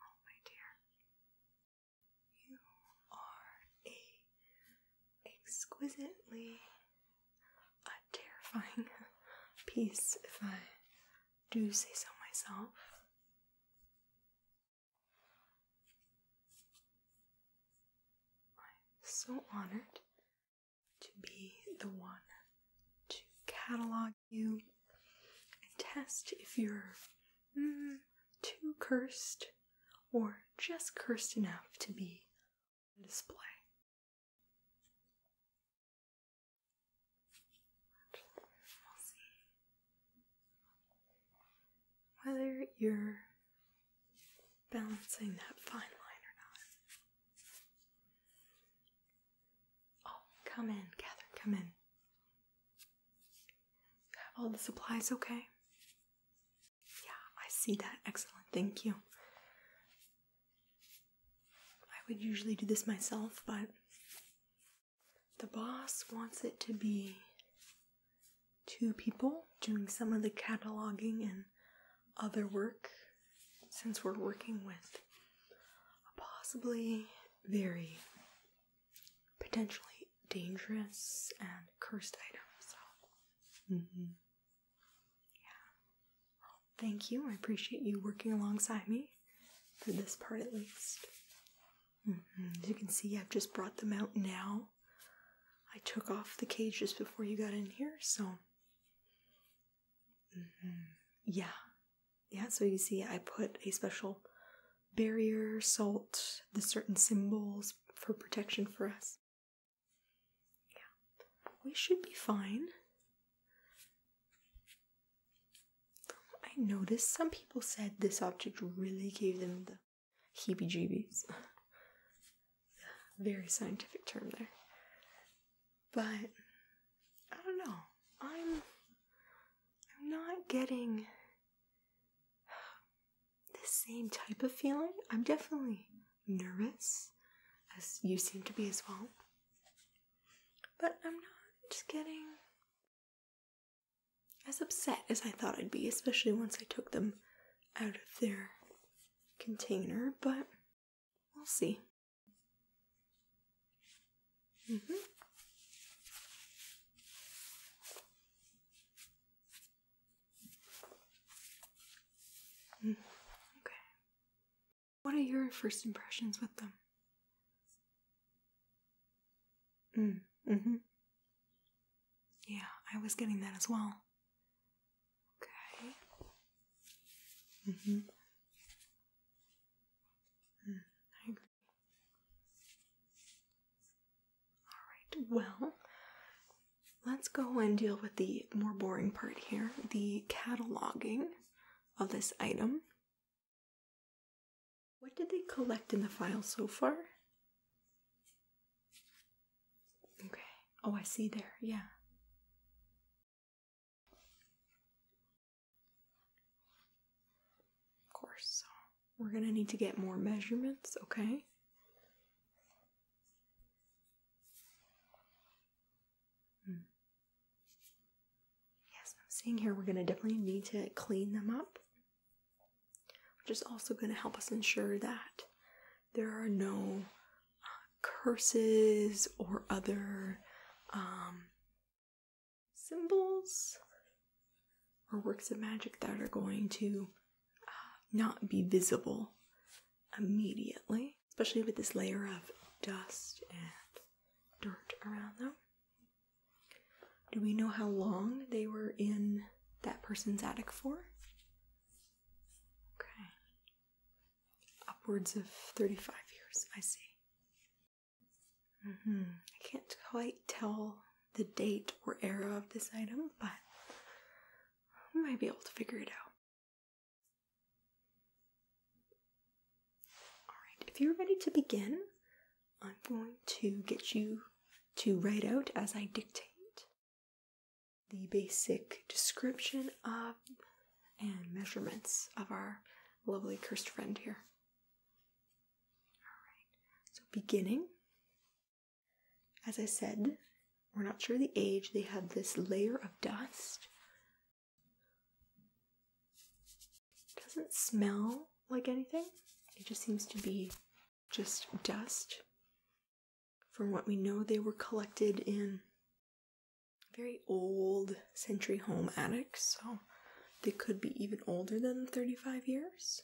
Oh, my dear, you are a exquisitely a terrifying piece, if I do say so myself. I'm so honored to be the one to catalog you and test if you're mm, too cursed or just cursed enough to be on display. We'll see whether you're balancing that fine line or not. Oh, come in, Catherine, come in. You oh, have all the supplies okay? Yeah, I see that. Excellent, thank you. I would usually do this myself, but the boss wants it to be two people doing some of the cataloging and other work since we're working with a possibly very potentially dangerous and cursed item, so mm-hmm. yeah. thank you. I appreciate you working alongside me for this part at least. Mm-hmm. As you can see, I've just brought them out now. I took off the cage just before you got in here, so Mm-hmm. Yeah. Yeah, so you see, I put a special barrier, salt, the certain symbols for protection for us. Yeah. We should be fine. I noticed some people said this object really gave them the heebie jeebies. Very scientific term there. But I don't know. I'm I'm not getting the same type of feeling. I'm definitely nervous, as you seem to be as well. But I'm not just getting as upset as I thought I'd be, especially once I took them out of their container. But We'll see. Mm-hmm. okay. What are your first impressions with them? Mm, mm Yeah, I was getting that as well. Okay. Mm-hmm. mm-hmm. I agree. All right. Well, let's go and deal with the more boring part here: the cataloging of this item. What did they collect in the file so far? Okay. Oh, I see there. Yeah. Of course, we're gonna need to get more measurements, okay? Hmm. Yes, I'm seeing here we're gonna definitely need to clean them up, which is also gonna help us ensure that there are no curses or other um, symbols or works of magic that are going to uh, not be visible immediately, especially with this layer of dust and dirt around them. Do we know how long they were in that person's attic for? Okay upwards of 35 years. I see. Mm-hmm. I can't quite tell the date or era of this item, but we might be able to figure it out. Alright, if you're ready to begin, I'm going to get you to write out as I dictate the basic description of and measurements of our lovely cursed friend here. Alright, so beginning, as I said, we're not sure the age, they have this layer of dust. doesn't smell like anything, it just seems to be just dust. From what we know, they were collected in very old century home attics, so they could be even older than 35 years.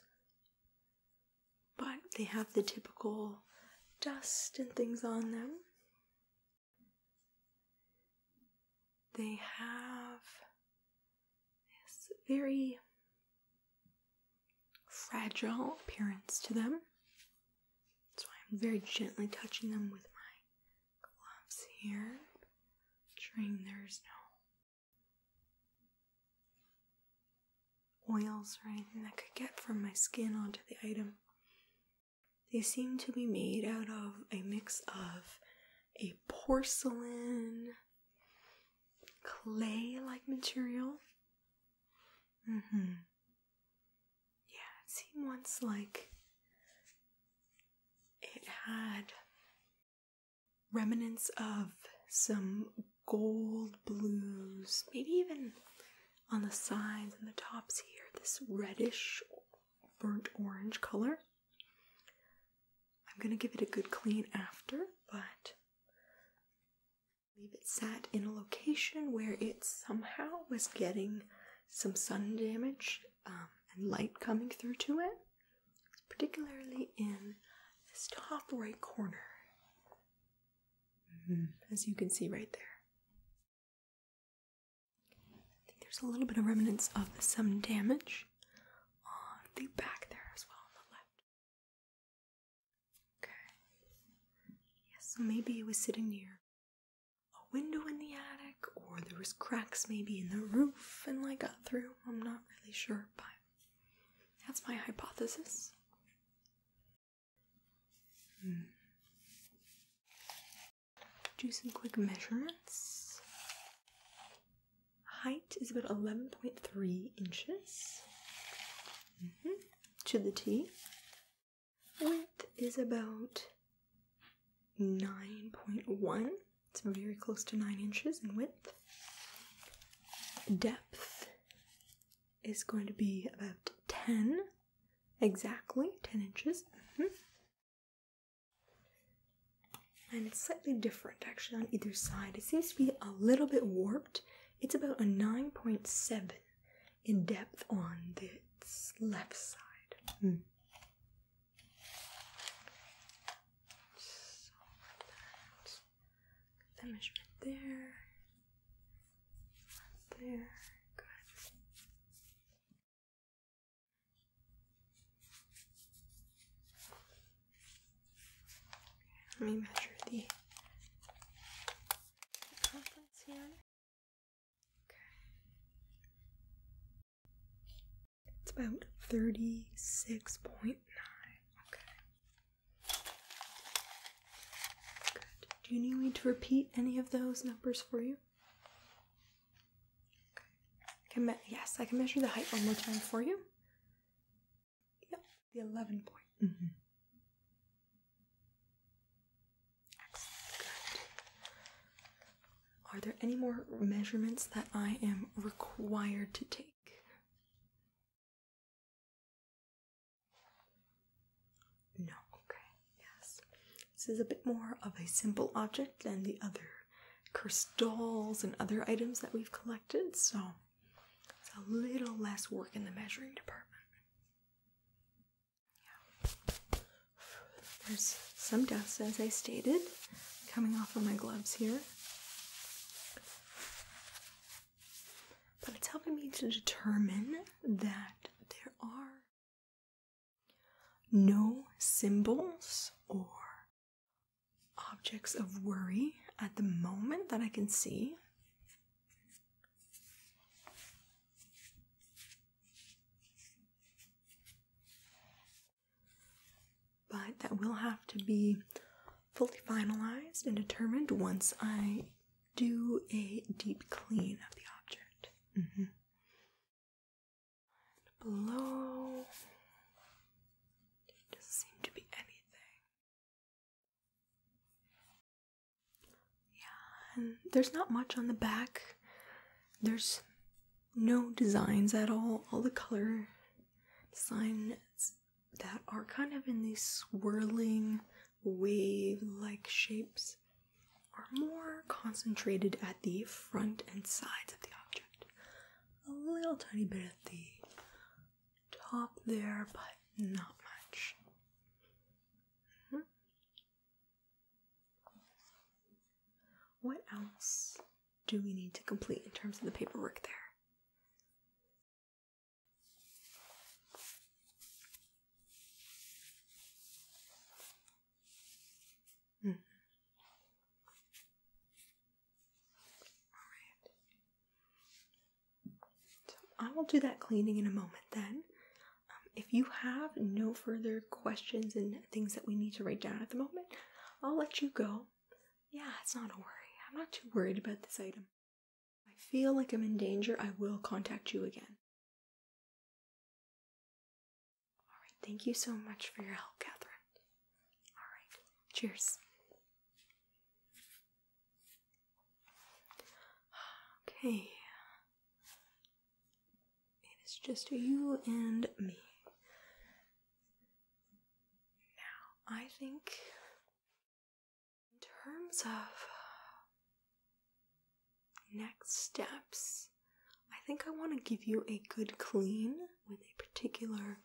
But they have the typical dust and things on them. They have this very fragile appearance to them. So I'm very gently touching them with my gloves here, ensuring there's no oils or anything that could get from my skin onto the item. They seem to be made out of a mix of a porcelain clay like material. Mm-hmm. Yeah, it seemed once like it had remnants of some gold blues, maybe even on the sides and the tops here, this reddish burnt orange color. I'm gonna give it a good clean after, but I it sat in a location where it somehow was getting some sun damage um, and light coming through to it, particularly in this top right corner, mm-hmm. as you can see right there. I think there's a little bit of remnants of some damage on the back there as well on the left. Okay. Yes, so maybe it was sitting near a window in the attic, or there was cracks maybe in the roof and I got through. I'm not really sure, but that's my hypothesis. Hmm. Do some quick measurements. Height is about 11.3 inches mm-hmm. to the T width is about 9.1. It's very close to 9 inches in width. Depth is going to be about 10, exactly 10 inches. Mm-hmm. And it's slightly different actually on either side. It seems to be a little bit warped. It's about a 9.7 in depth on its left side. Hmm. So that. measurement there, there, good. let me measure the conference here. It's about 36.9. Okay. Good. Do you need me to repeat any of those numbers for you? Okay. Can yes, I can measure the height one more time for you. Yep, the 11 point. Mm-hmm. Are there any more measurements that I am required to take? No, okay, yes. This is a bit more of a simple object than the other crystals and other items that we've collected, so it's a little less work in the measuring department. There's some dust, as I stated, coming off of my gloves here. But it's helping me to determine that there are no symbols or objects of worry at the moment that I can see. But that will have to be fully finalized and determined once I do a deep clean of the object. Mm-hmm. Below doesn't seem to be anything. Yeah, and there's not much on the back. There's no designs at all. All the color designs that are kind of in these swirling wave like shapes are more concentrated at the front and sides of the object. A little tiny bit at the top there, but not much. Mm-hmm. What else do we need to complete in terms of the paperwork there? Hmm. All right. I will do that cleaning in a moment then. Um, if you have no further questions and things that we need to write down at the moment, I'll let you go. Yeah, it's not a worry. I'm not too worried about this item. I feel like I'm in danger, I will contact you again. Alright, thank you so much for your help, Catherine. Alright, cheers. Okay. It is just you and me. Now, I think in terms of next steps, I think I want to give you a good clean with a particular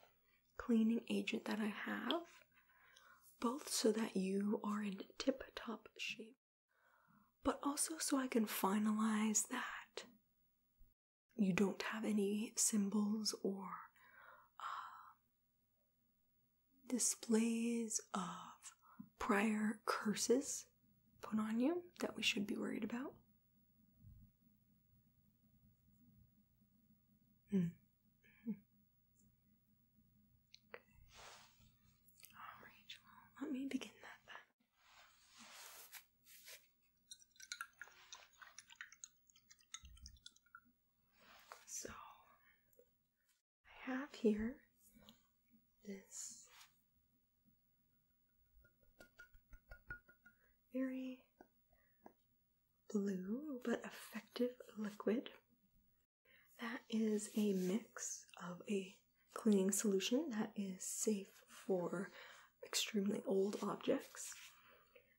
cleaning agent that I have, both so that you are in tip top shape but also so I can finalize that you don't have any symbols or uh, displays of prior curses put on you that we should be worried about. Hmm. Hmm. Okay. All right, let me begin that then. So I have here this very blue but effective liquid that is a mix of a cleaning solution that is safe for extremely old objects,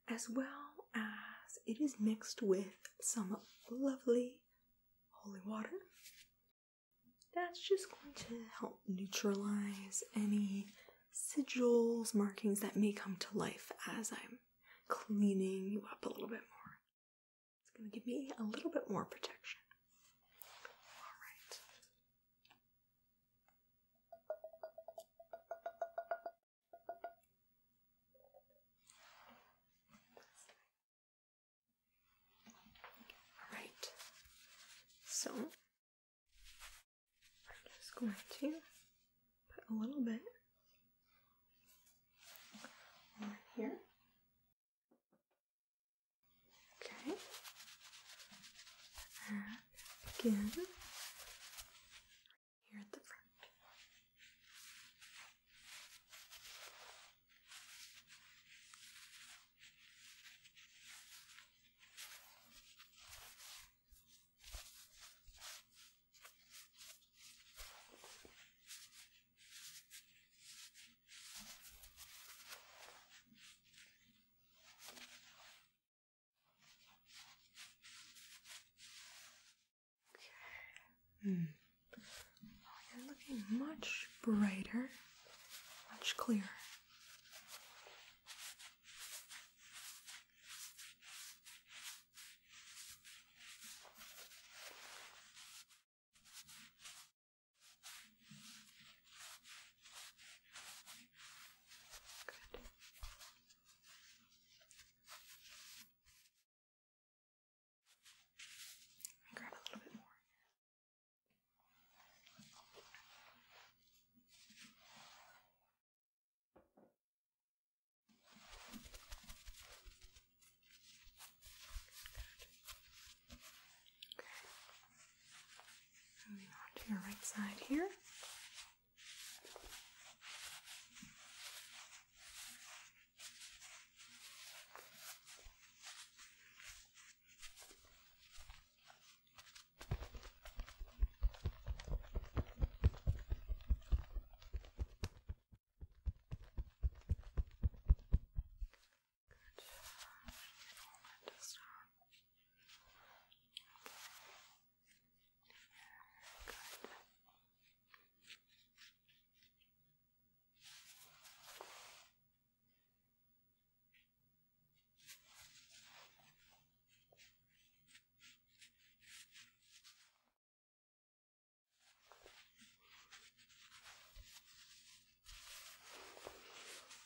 as well as it is mixed with some lovely holy water. That's just going to help neutralize any sigils, markings that may come to life as I'm cleaning you up a little bit more. It's going to give me a little bit more protection. All right. All right. So I'm just going to put a little bit here. Okay. Again, here at the front. Okay. Hmm. Oh, you're looking much brighter, much clearer. Good. Grab a little bit more. Good. Okay. Moving on to your right side here. Good. Forward to stop. Okay. Good. Okay.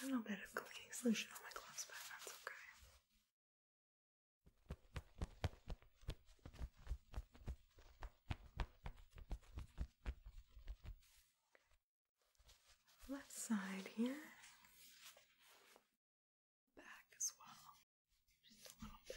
A little bit of cleaning solution on my gloves, but that's okay. Left side here, back as well, just a little bit.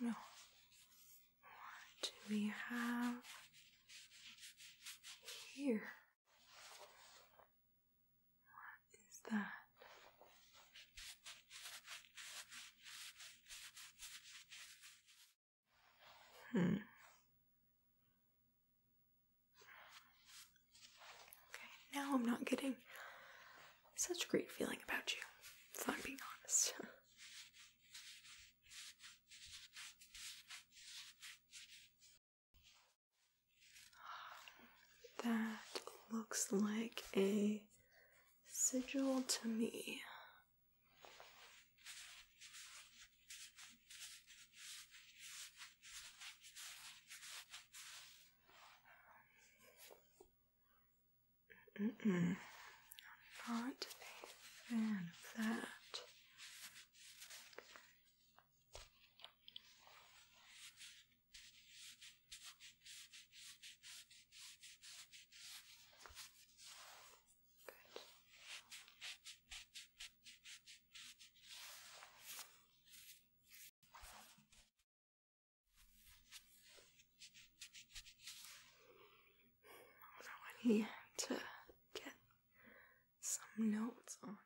no. What do we have here? What is that? Hmm. Okay, now I'm not getting such a great feeling about you, if I'm being honest. That looks like a sigil to me. Mm -mm. not a fan of that. Good. So I need to get some notes on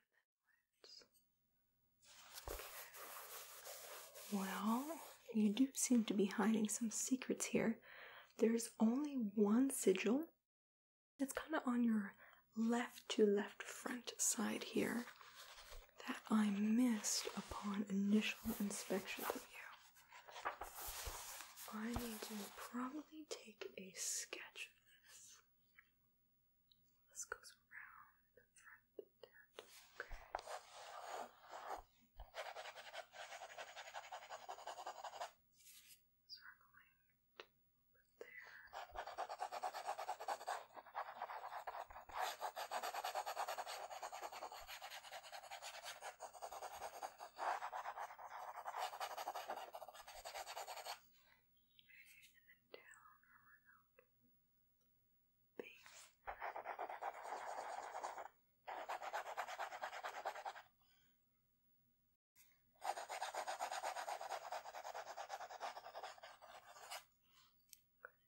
Well, you do seem to be hiding some secrets here. There's only one sigil. It's kind of on your left to left front side here that I missed upon initial inspection of you. I need to probably take a sketch of this. This goes around Okay. Circling and then down around base. Good,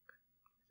good.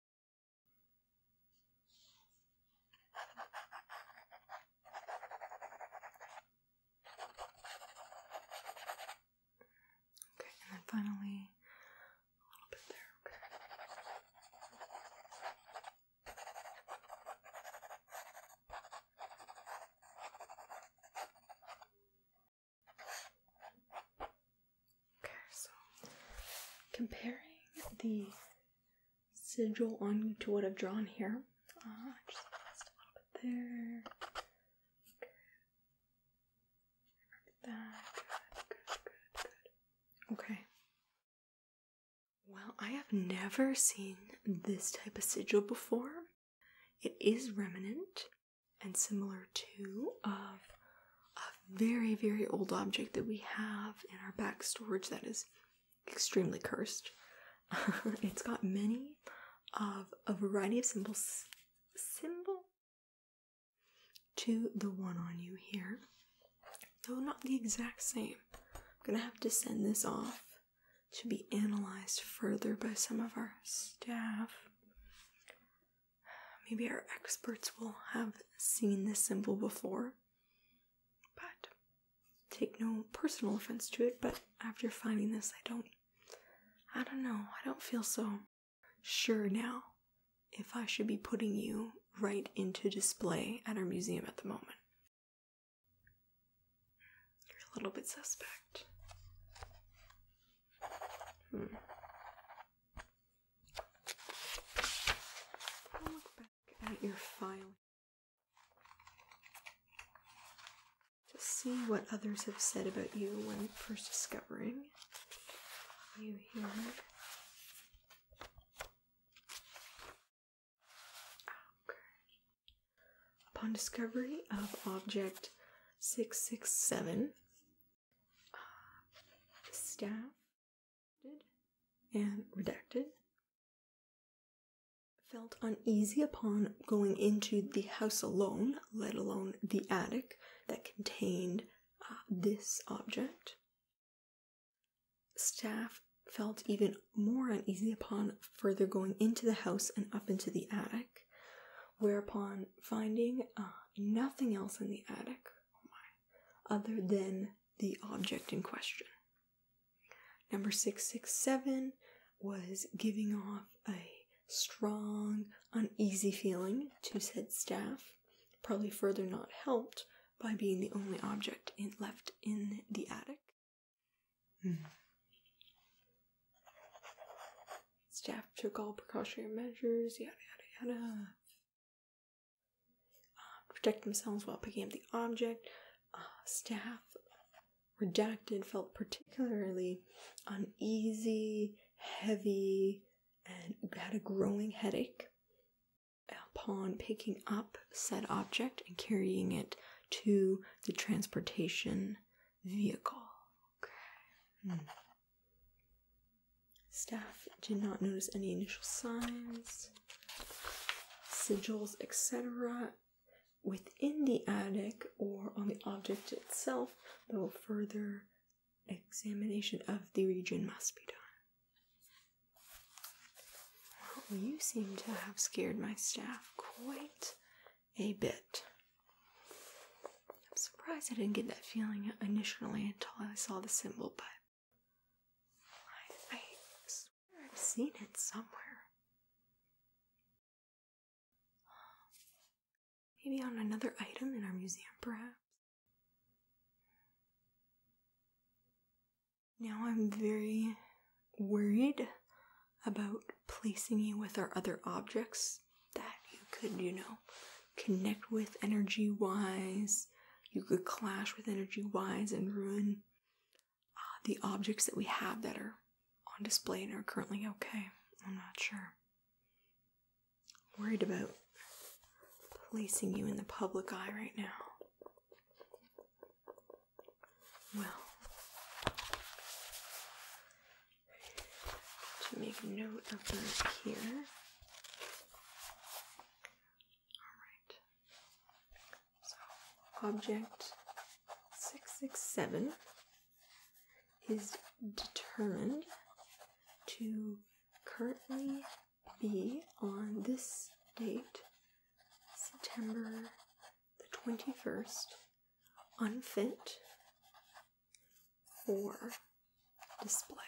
Okay, and then finally a little bit there, okay. Okay, so comparing the sigil on to what I've drawn here. Uh, there. Okay. Well, I have never seen this type of sigil before. It is remnant and similar to of very, very old object that we have in our back storage that is extremely cursed. it's got many of a variety of symbols. Symbol to the one on you here, though not the exact same. I'm gonna have to send this off to be analyzed further by some of our staff. Maybe our experts will have seen this symbol before but take no personal offense to it, but after finding this, I don't. I don't know. I don't feel so sure now if I should be putting you right into display at our museum at the moment. You're a little bit suspect. Hmm back at your file Just see what others have said about you when first discovering you here. Okay. Upon discovery of object 667, uh, staff and redacted felt uneasy upon going into the house alone, let alone the attic that contained uh, this object. Staff felt even more uneasy upon further going into the house and up into the attic, whereupon finding uh, nothing else in the attic, oh other than the object in question. Number 667 was giving off a strong, uneasy feeling to said staff, probably further not helped by being the only object left in the attic. Hmm. Staff took all precautionary measures, yada yada yada. Um, protect themselves while picking up the object. Uh, staff redacted felt particularly uneasy, heavy, and had a growing headache upon picking up said object and carrying it to the transportation vehicle. Hmm. Staff did not notice any initial signs sigils, etc., within the attic or on the object itself, though further examination of the region must be done. you seem to have scared my staff quite a bit. I'm surprised I didn't get that feeling initially until I saw the symbol, but I, swear I've seen it somewhere. Maybe on another item in our museum, perhaps. Now I'm very worried about placing you with our other objects that you could, you know, connect with energy wise you could clash with energy wise and ruin uh, the objects that we have that are on display and are currently okay. I'm not sure. I'm worried about placing you in the public eye right now. Well, to make note of here, Alright. So, object 667 is determined to currently be on this date, September the 21st, unfit for display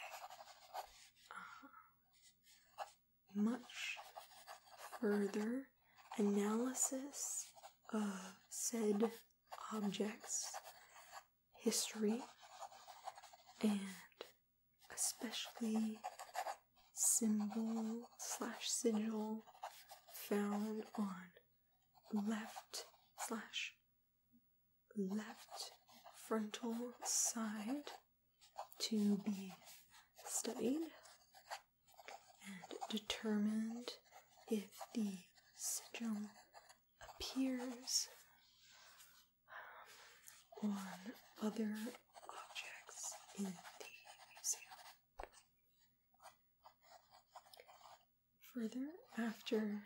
much further analysis of said objects, history, and especially symbol slash sigil found on left slash left frontal side to be studied and determined if the syndrome appears um, on other objects in the museum. Further, after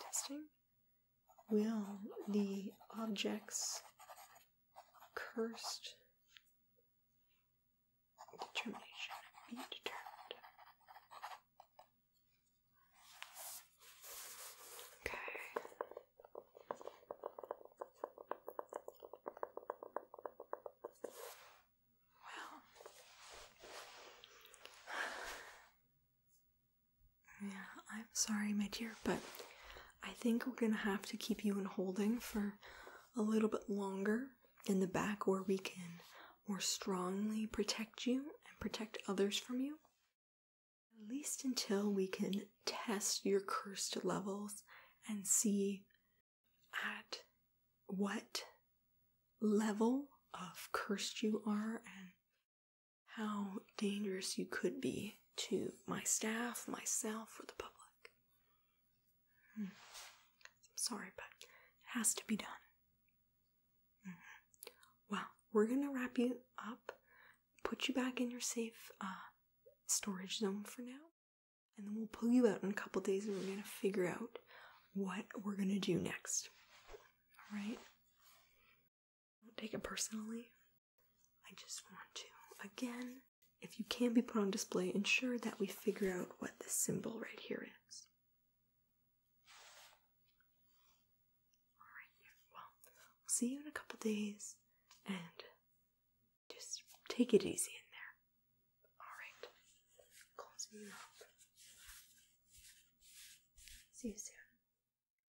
testing, will the objects cursed determination. Be determined. Okay. Well, yeah, I'm sorry, my dear, but I think we're gonna have to keep you in holding for a little bit longer in the back where we can more strongly protect you and protect others from you. At least until we can test your cursed levels and see at what level of cursed you are and how dangerous you could be to my staff, myself, or the public. Hmm. I'm sorry, but it has to be done. Mm-hmm. Well, we're going to wrap you up, put you back in your safe uh, storage zone for now, and then we'll pull you out in a couple days and we're going to figure out what we're going to do next. All right? Don't take it personally. I just want to, again, if you can be put on display, ensure that we figure out what this symbol right here is. Alright, well, we'll see you in a couple days and just take it easy in there. Alright, close up. See you soon.